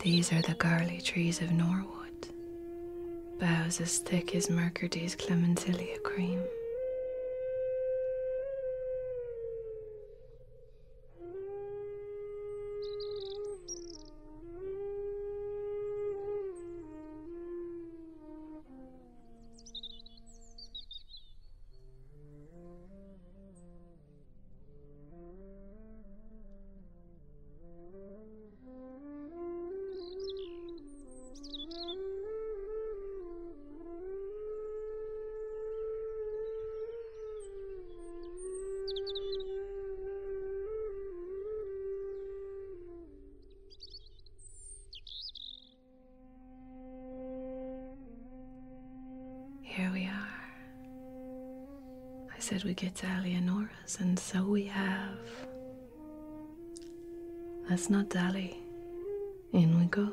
These are the garly trees of Norwood, boughs as thick as Mercury's clementilia cream. Here we are. I said we'd get to Eleanor and so we have. Let's not dally. In we go.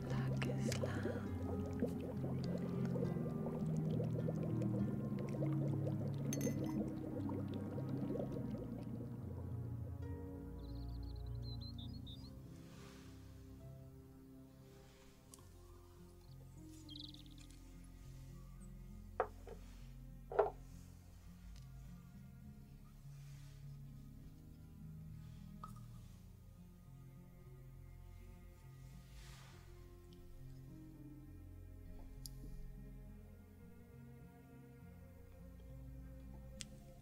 black Islam.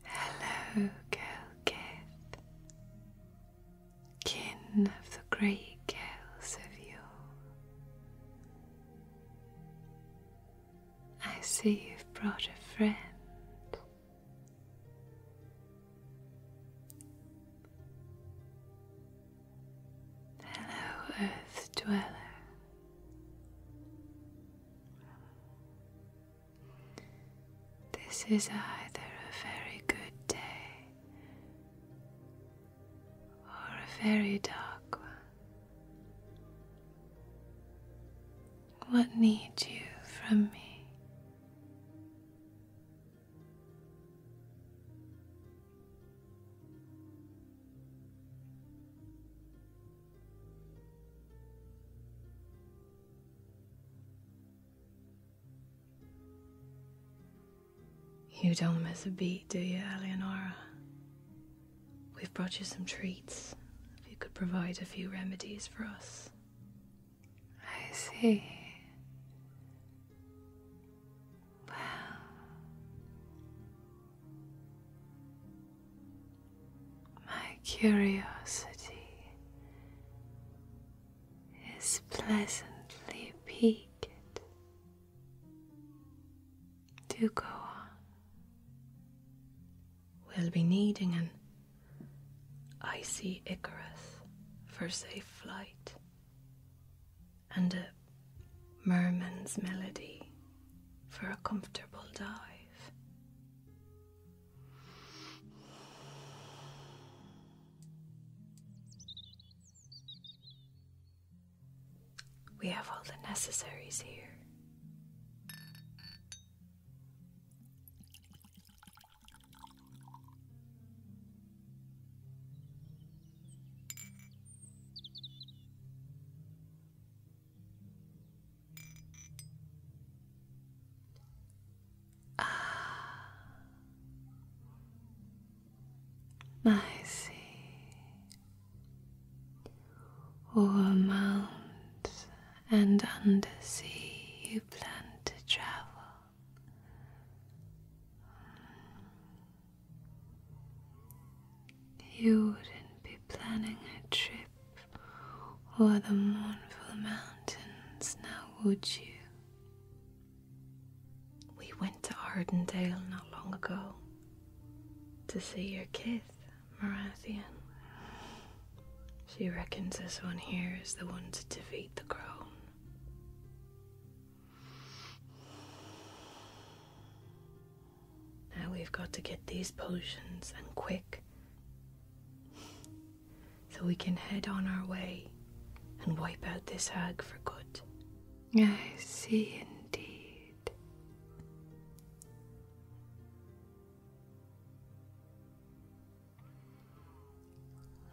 Hello, Gelgeth, kin of the great gales of yore. I see you've brought a friend. Hello, Earth Dweller. This is either a very good day or a very dark one. What need you from me? You don't miss a beat, do you, Eleonora? We've brought you some treats. If you could provide a few remedies for us, I see. Well, my curiosity is pleasantly piqued. To go on. We'll be needing an icy Icarus for safe flight and a merman's melody for a comfortable dive. We have all the necessaries here. Ah, I see. O'er mountains and under sea you plan to travel, you wouldn't be planning a trip o'er the mournful mountains, now would you? We went to Ardendale not long ago to see your kith, Marathian. She reckons this one here is the one to defeat the crown. Now we've got to get these potions and quick so we can head on our way and wipe out this hag for good. I see indeed.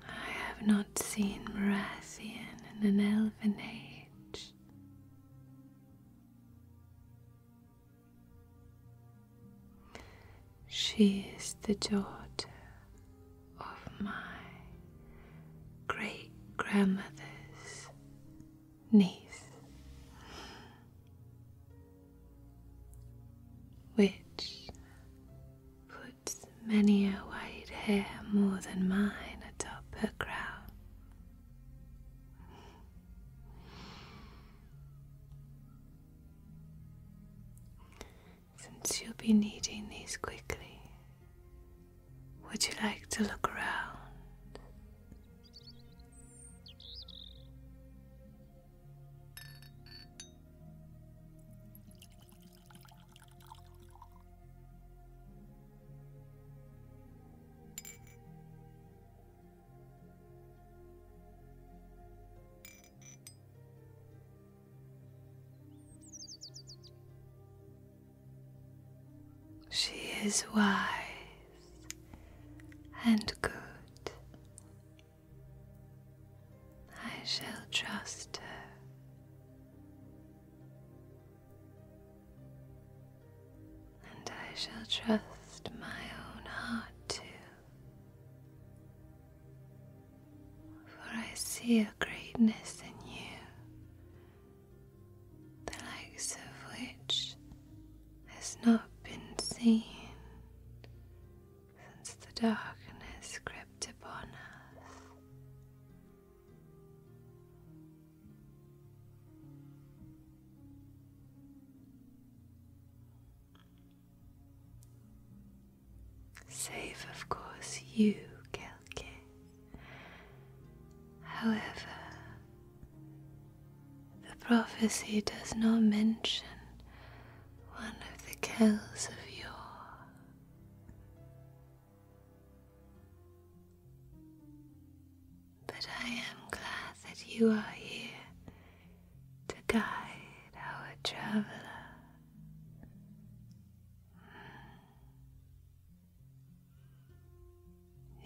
I have not seen Marassian in an elven age. She is the daughter of my great grandmother's niece, which many a white hair more than mine atop her crown. Since you'll be needing these quickly, would you like to look around? She is wise and good. I shall trust her. And I shall trust my own heart too. For I see a greatness in you, the likes of which has not been seen since the darkness crept upon us. Save, of course, you, Kelke. However, the prophecy does not mention one of the Kells of yore. But I am glad that you are here to guide our traveler. Hmm.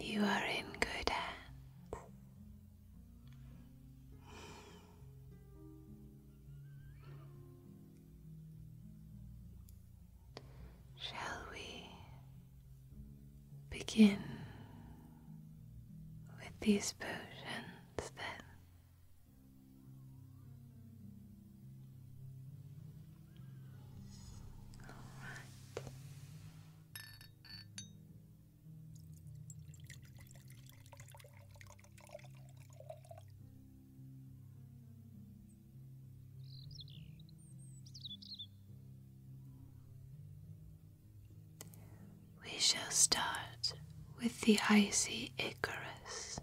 You are in good hands. Shall we begin with these potions then? All right. We shall start with the icy Icarus.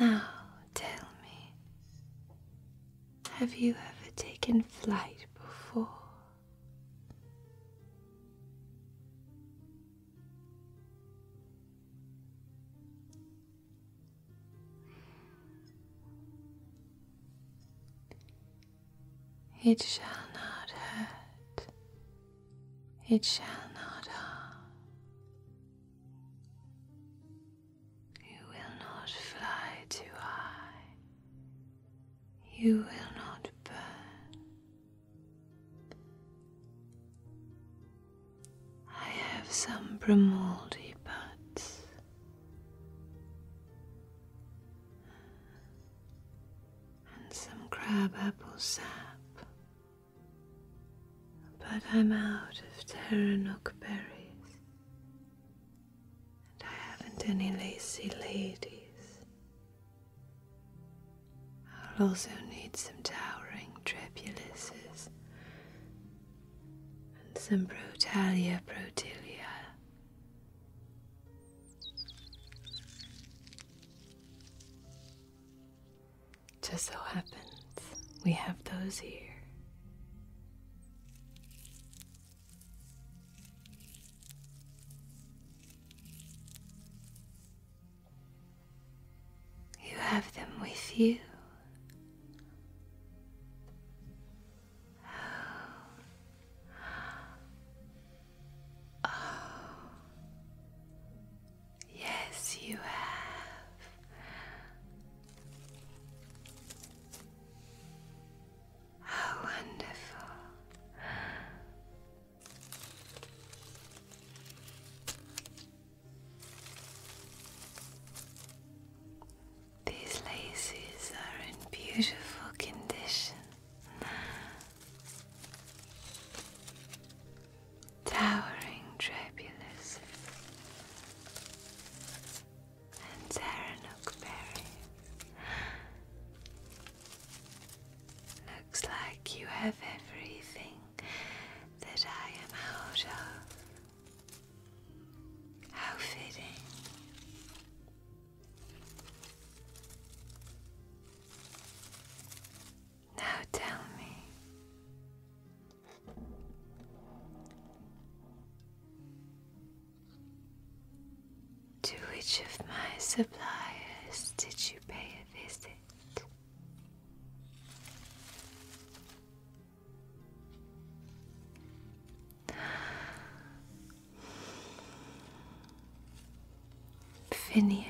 Now tell me, have you ever taken flight before? It shall not hurt. It shall not harm. You will not fly too high. You will not burn. I have some Bramoldi buds. And some crabapple sap. But I'm out of Terranook berries. And I haven't any lacy ladies. I'll also need some towering trepulises and some brotalia protilia. Just so happens we have those here. You have them with you. Oh. Oh. Yes, you have. How wonderful. These laces are in beautiful condition. Towering Trebulus and Zaranook Looks like you have everything that I am out of. How fitting. Now tell me, to which of my suppliers did you pay a visit? Finilene.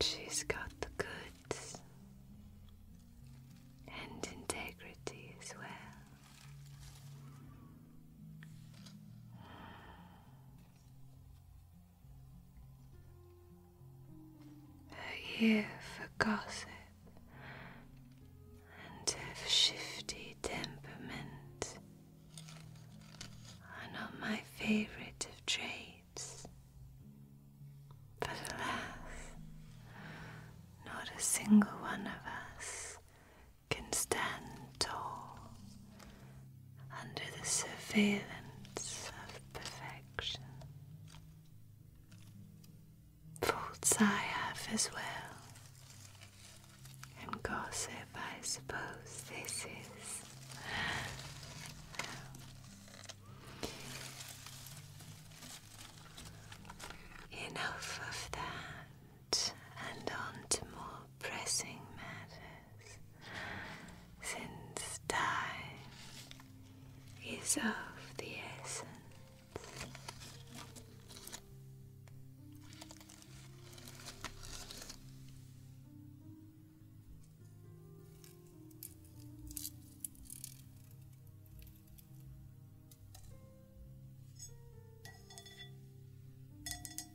She's got the goods and integrity as well. Her ear for gossip and a shifty temperament are not my favourite of traits. But alas, not a single one of us can stand tall under the surveillance of perfection. Faults I have as well, and gossip, I suppose this is. Enough of that, and on to more pressing matters, since time is of the essence.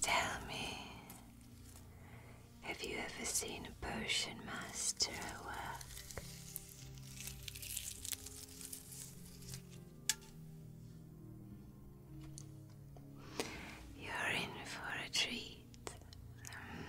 Tell me, have you ever seen a potion master at work? You're in for a treat. Mm.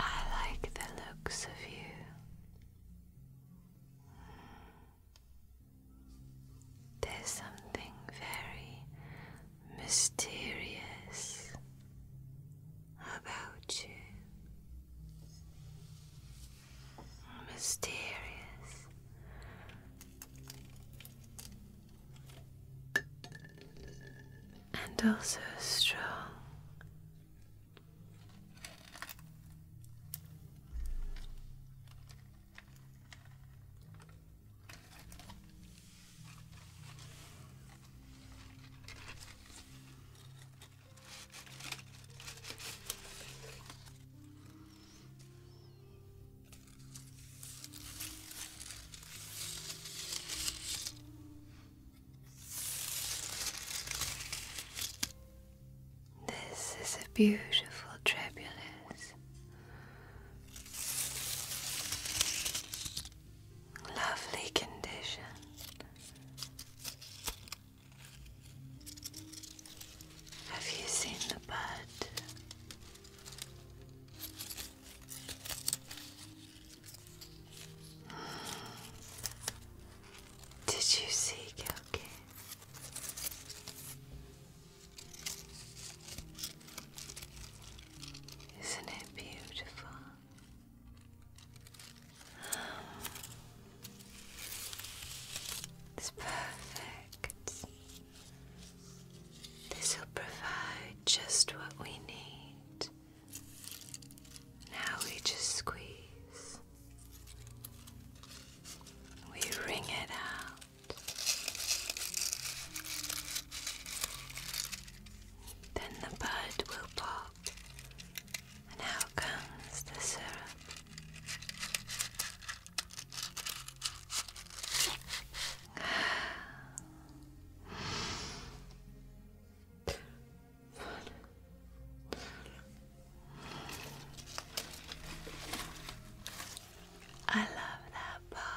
I like the looks of you. Mm. There's something very mysterious about you. Mysterious and also strong. This is a beautiful tribulus. Lovely condition. Have you seen the bud? Did you see Gilke? Isn't it beautiful? It's perfect. This will provide just what we need. Now we just squeeze, we wring it out. Then the bud will pop, and out comes the syrup. I love that part.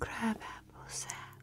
Crab apple sap.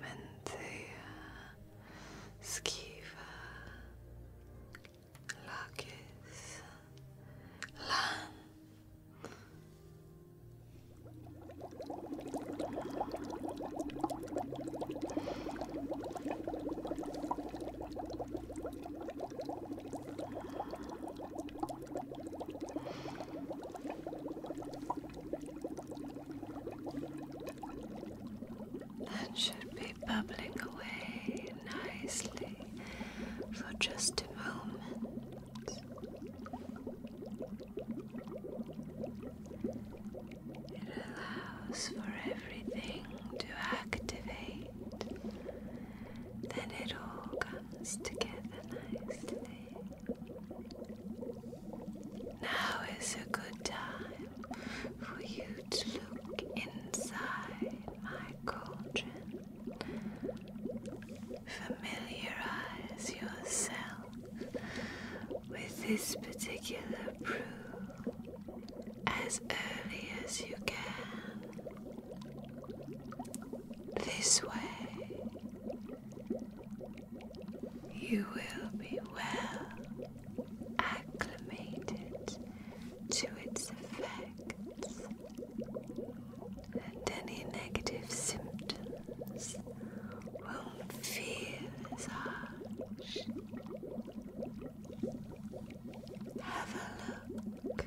Mentea, Skiva, Lakis, Lan. That should be bubbling away nicely for just a moment. It allows for everything to activate, then it all comes together nicely. Now is a good time for you to look inside my cauldron. Familiarize yourself with this particular brew as early as you can. This way, you will be well acclimated to its effects, and any negative symptoms won't feel as harsh. Have a look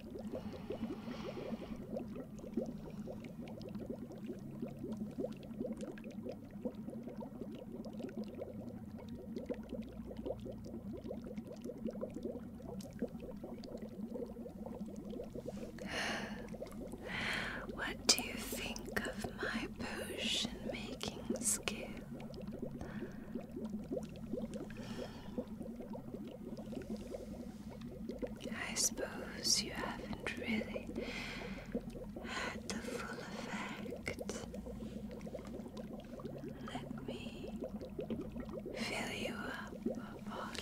What do you think of my potion making skill? I suppose you haven't really had the full effect. Let me fill you up a bottle.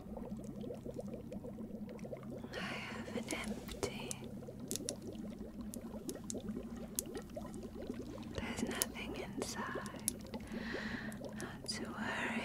I have an empty. There's nothing inside. Not to worry.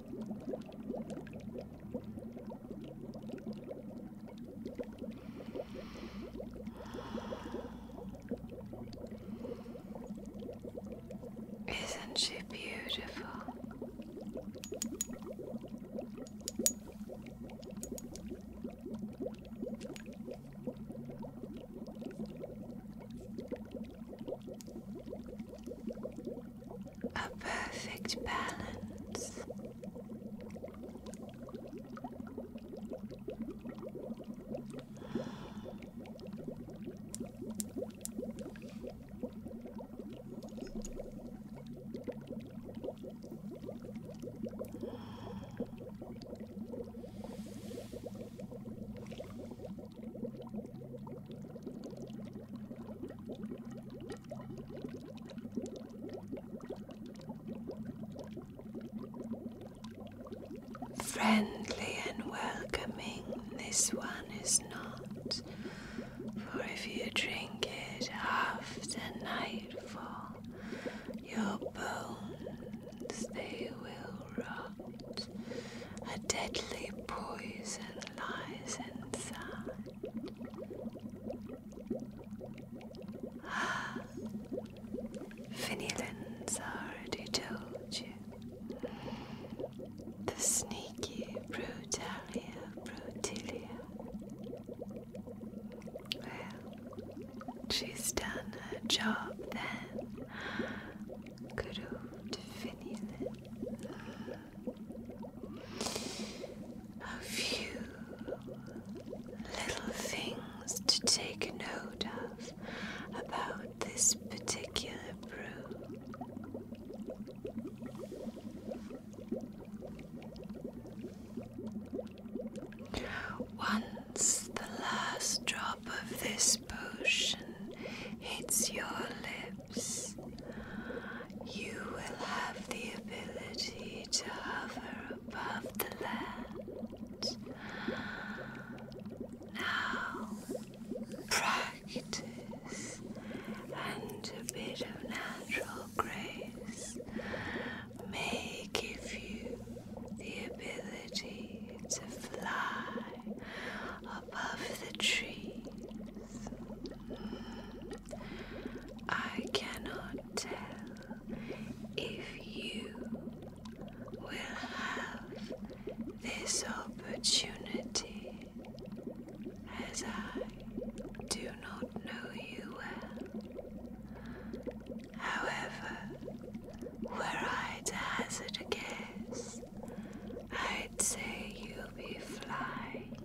Isn't she beautiful? A perfect balance. Friendly and welcoming, this one is not, for if you drink it after nightfall, your bones they will a deadly poison lies inside. Ah, Finilin's already told you. The sneaky Brutalia Brutilia. Well, she's done her job then. Good old Finilin. A few little things to take note of about this particular brew. Once the last drop of this potion hits your lips, you will have the ability to hover above the land. Now, practice and a bit of natural grace may give you the ability to fly of the trees. I cannot tell if you will have this opportunity as I do not know you well. However, were I to hazard a guess, I'd say you be flying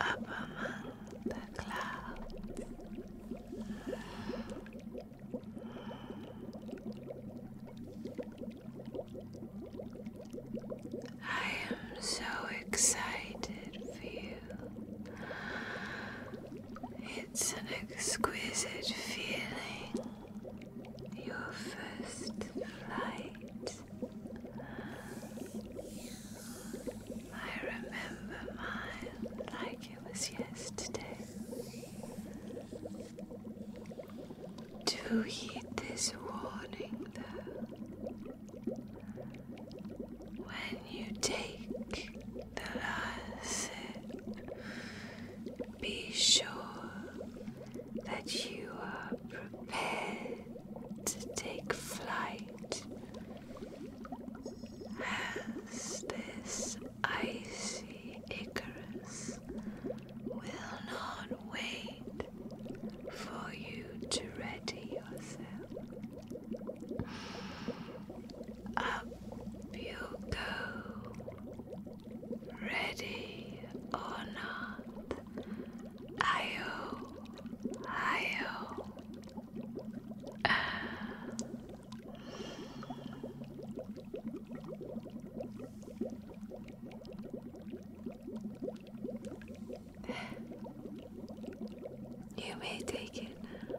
up among the clouds. I am so excited for you. It's an exquisite feeling your first flight. I remember mine like it was yesterday. Do heed this warning though. When you take the last sip, be sure that you are prepared to take flight as this icy Icarus will not wait for you to ready yourself. Up you go Ready or not, Io, Io. You may take it now.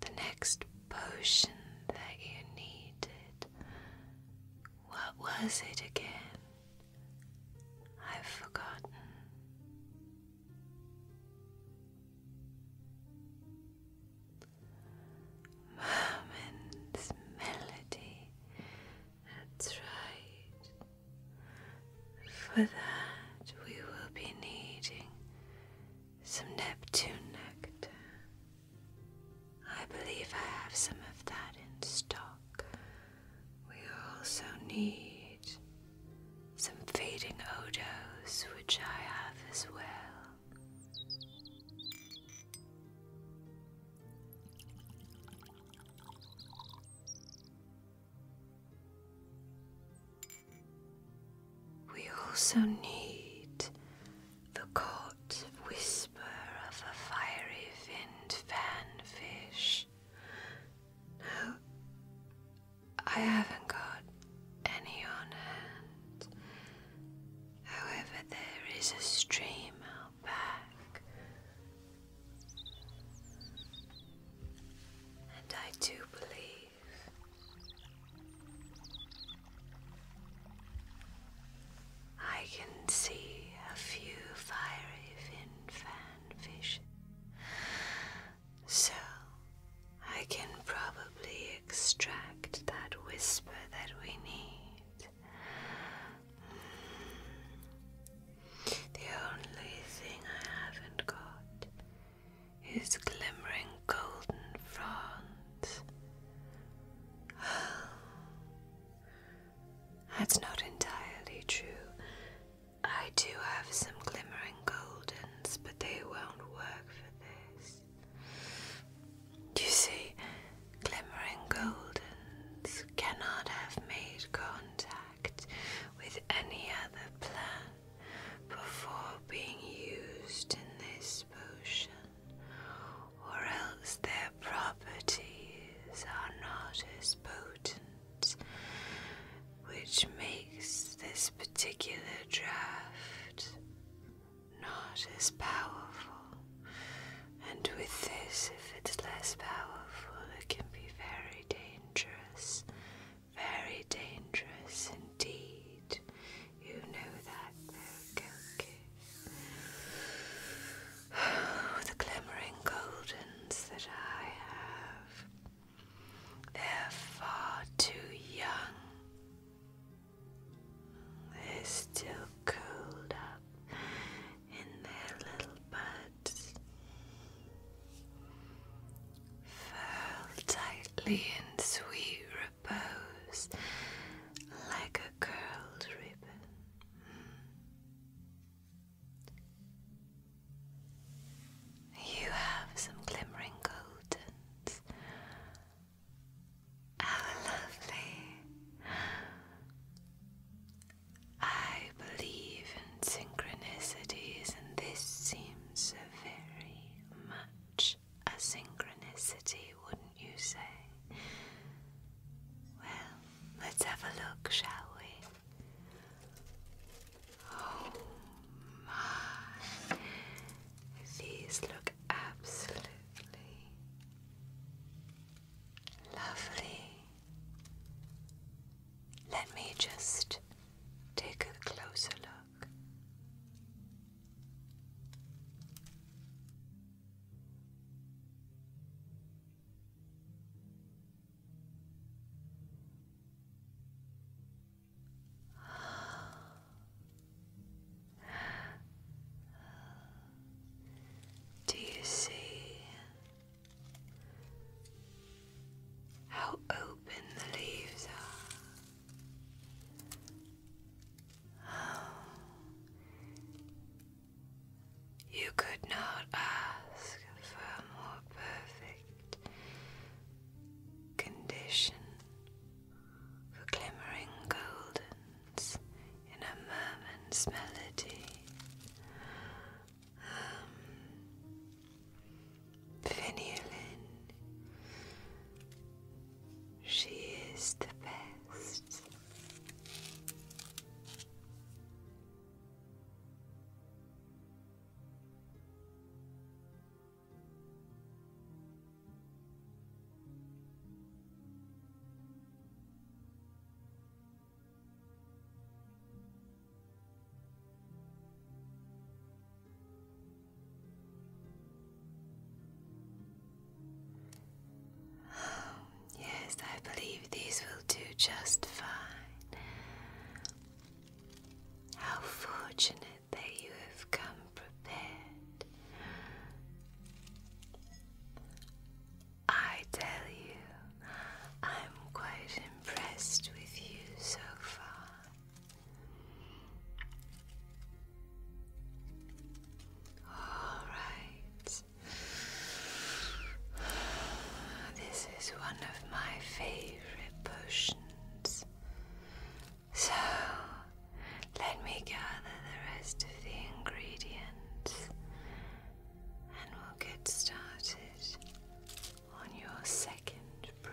The next potion that you needed, what was it again? I've forgotten. Woman's melody. That's right. For that, we will be needing some Neptune nectar. I believe I have some of that in stock. We also need some fading odos, which I have as well. We also need the caught whisper of a fiery finned fanfish. I haven't got any on hand. However, there is a stream out back. And I do believe I can see a few fiery fin fan fish. So I can probably extract that whisper that we need. Mm. The only thing I haven't got is glimmering golden fronds. that's not entirely true. I do have some glimmering goldens, but they won't work for this. You see, glimmering goldens cannot have made contact with any other plant before being used in this potion, or else their properties are not as potent, which makes this particular draft not as powerful, and with this, if it's less powerful, it can be very dangerous, very dangerous indeed. You know that, though, the glimmering goldens that I have. They're far too young they're still curled up in their little buds. Furl tightly in sweet repose like a curled ribbon. Mm. You have some glimmering goldens how lovely. I believe in synchronicities, and this seems so very much a synchronicity, wouldn't you say? Well, let's have a look, shall we? Oh my, these look absolutely lovely. Let me just take a closer look. Do you see how open the leaves are? You could not ask for a more perfect condition were glimmering goldens in a merman's melody. Um, she is the best. Oh, yes, I believe these will do just fine. How fortunate that you have come prepared. I tell you, I'm quite impressed with you so far. All right. This is one of my favorite potions. So, let me gather the rest of the ingredients and we'll get started on your second brew.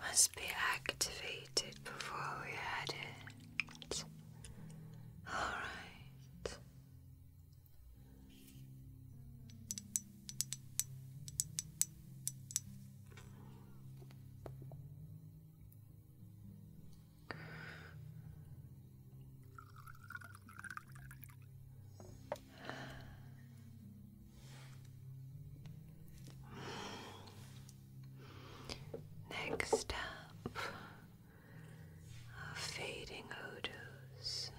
must be activated before we add it. Alright. Next up fading odors.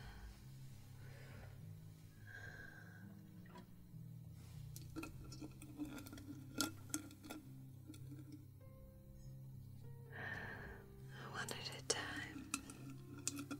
One at a time.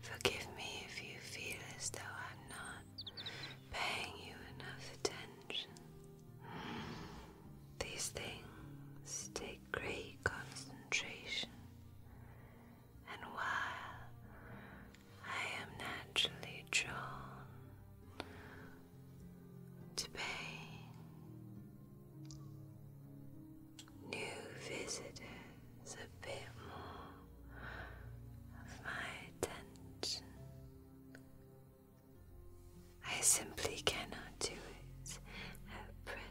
Forgive me if you feel as though I'm not paying you enough attention. These things take great concentration, and while I am naturally drawn to pay new visitors a bit more of my attention. I simply cannot do it at present.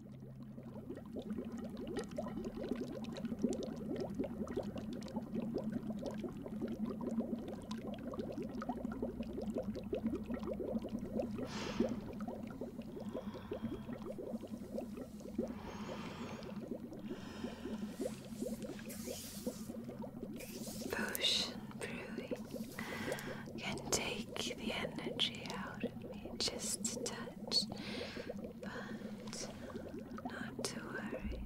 Potion brewing can take the energy out of me just touch. But not to worry,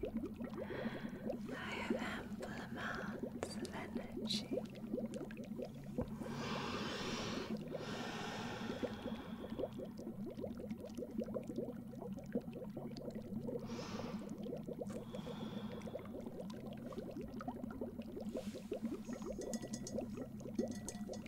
I have ample amounts of energy.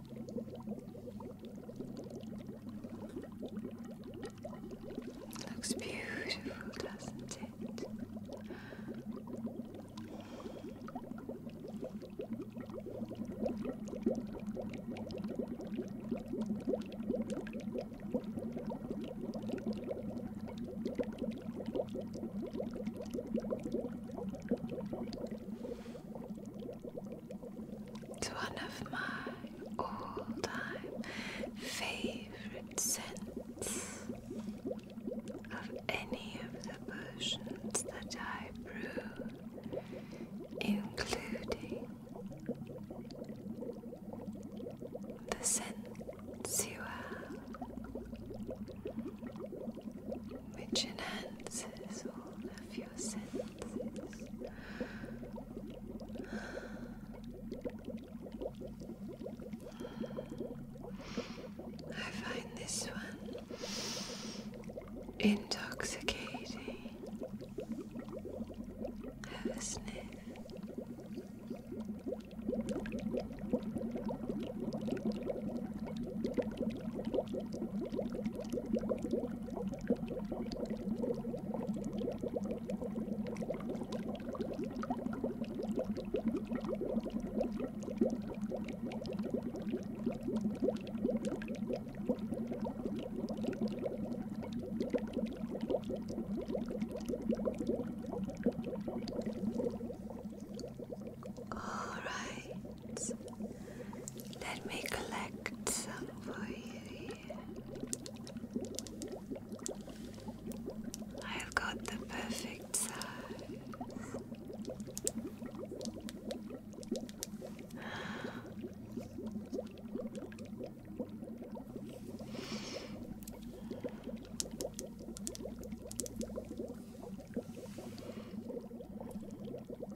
Looks beautiful, doesn't it? It's one of my all-time favorite scents of any of the potions that I brew, including the scent you which enhances all of your scents. I find this one intoxicating. Have sniff. All right, let me collect some for you. I've got the perfect size.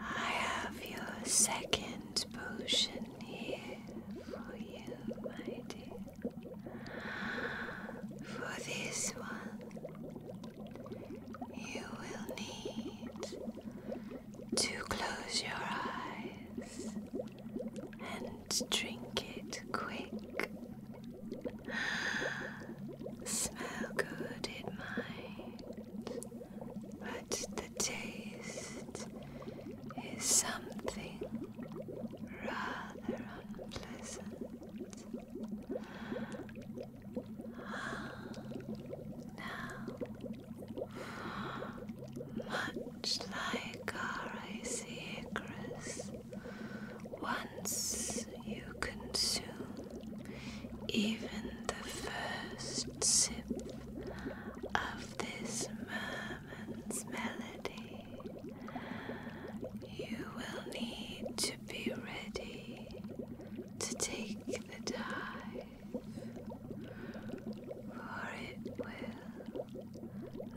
I have your second potion here for you, my dear. For this one, you will need to close your eyes and drink it quick. Smell good, it might but the taste is something rather unpleasant. Ah, now, much like our icy icarus, once you consume even the first sip of this merman's melody. You will need to be ready to take the dive, for it will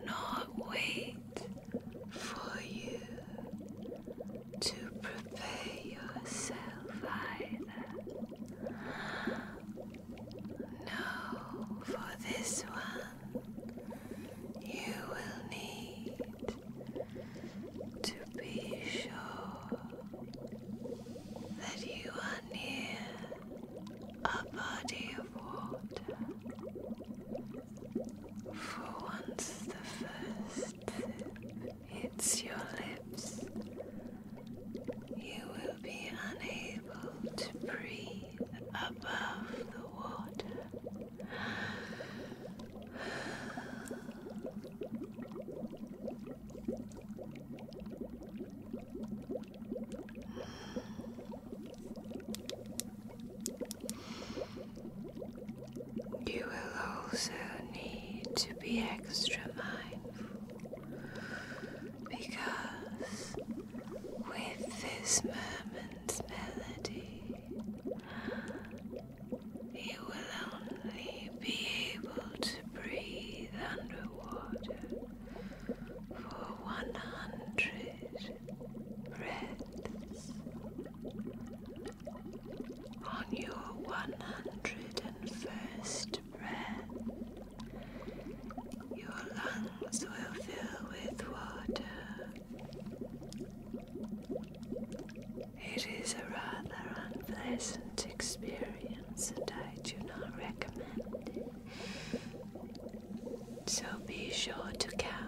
not wait for you to prepare yourself no, for this one, you will need to be sure that you are near a body of water. For once the first it's your lips. You will be unable to breathe above the water. You will also need to be extra mindful because with this moment's melody, you will only be able to breathe underwater for 100 breaths. On your 101st breath, your lungs will fill with water. It is a rather unpleasant experience, and I do not recommend it. So be sure to count.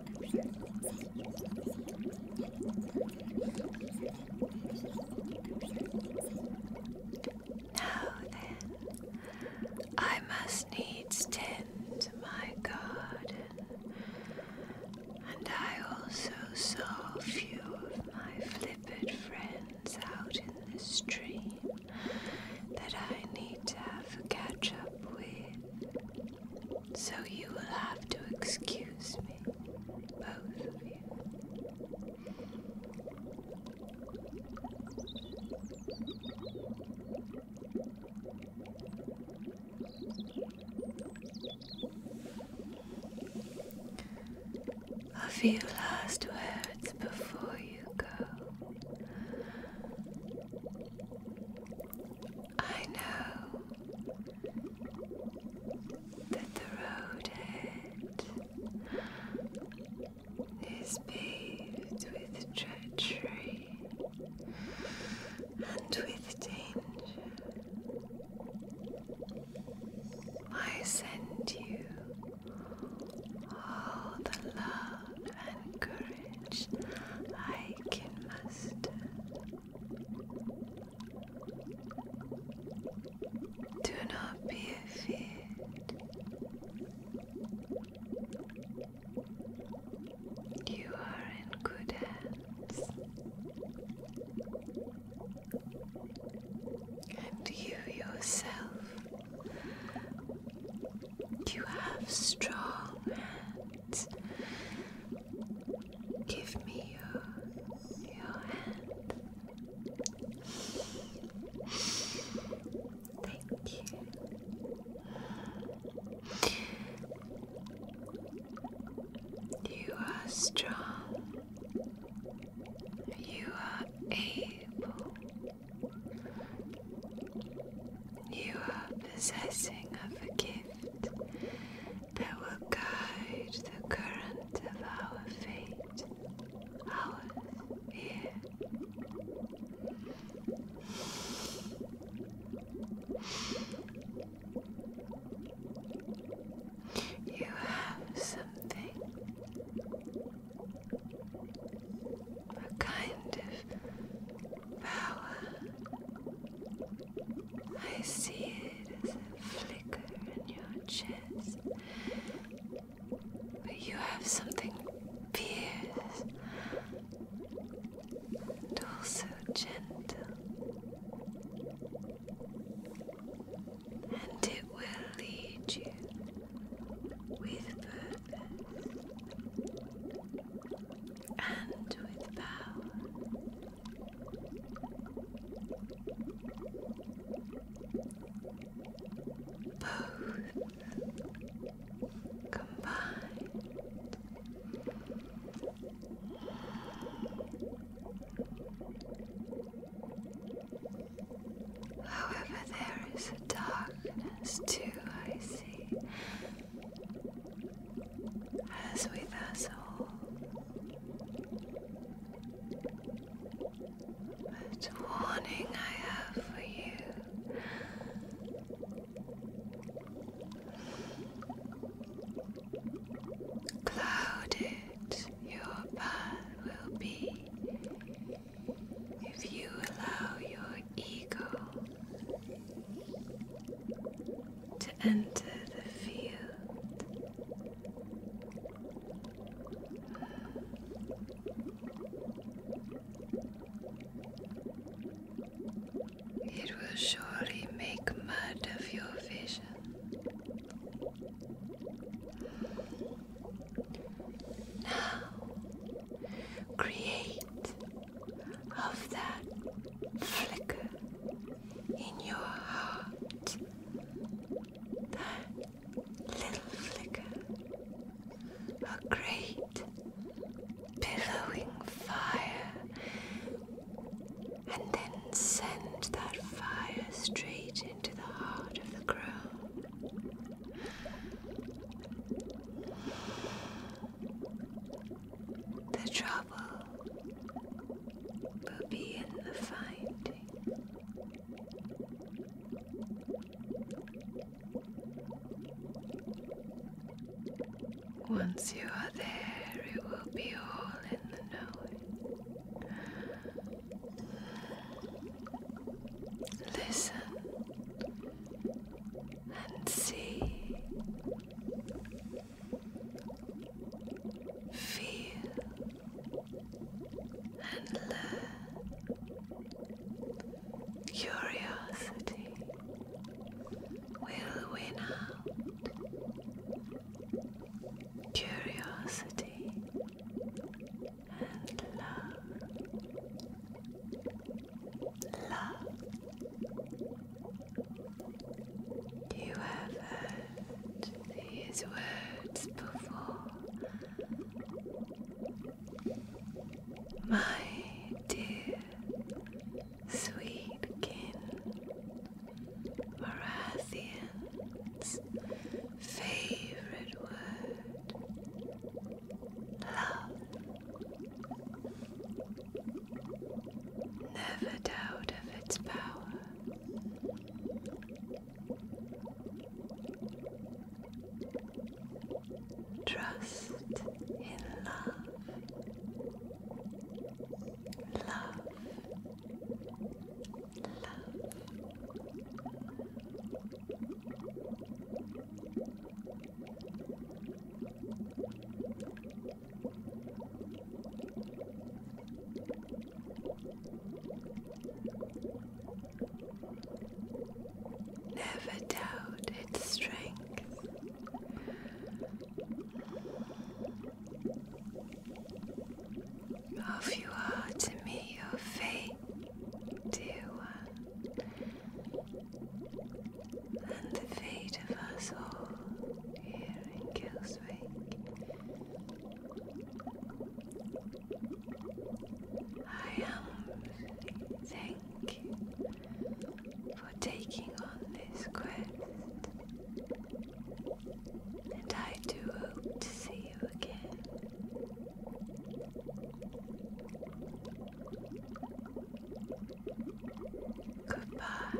Now then, I must needs tend my garden, and I also saw a few of my flippered friends out in the stream that I need to have a catch up with. So you will have to excuse me, both of you. A few last words before you go. I know that the road ahead is paved with treachery and with danger. I send you all the love and courage I can muster. Do not be afraid. You are in good hands, and you yourself, you have strong hands Give me your, your hand. Thank you. You are strong. You are able. You are possessing of a gift that will guide the current of our fate, ours here. You have something, a kind of power I see it as a flicker in your chest. But you have something fierce and also gentle. And it will lead you with purpose and with power. Both combined. However, there is a darkness too, I see a sweet vessel but warning I have for you Clouded your path will be if you allow your ego to enter the field. It will surely make mud of your vision. Now, create of that flicker in your heart, that little flicker, a great billowing fire, and then send that fire straight into the heart of the crow. The trouble will be in the finding. Once you are there, it will be all in the knowing. Listen and see Feel and learn. Curiosity will win out. Curiosity and love. Love you have heard these words before. My dear, sweet kin, Marathian's favorite word, love. Never doubt of its power. Trust in love. Love. Love. Never doubt its strength. Of you are to me your fate, dear one, and the fate of us all here in Killswick. I am thank you for taking on this quest, and I do hope to see you again. Goodbye.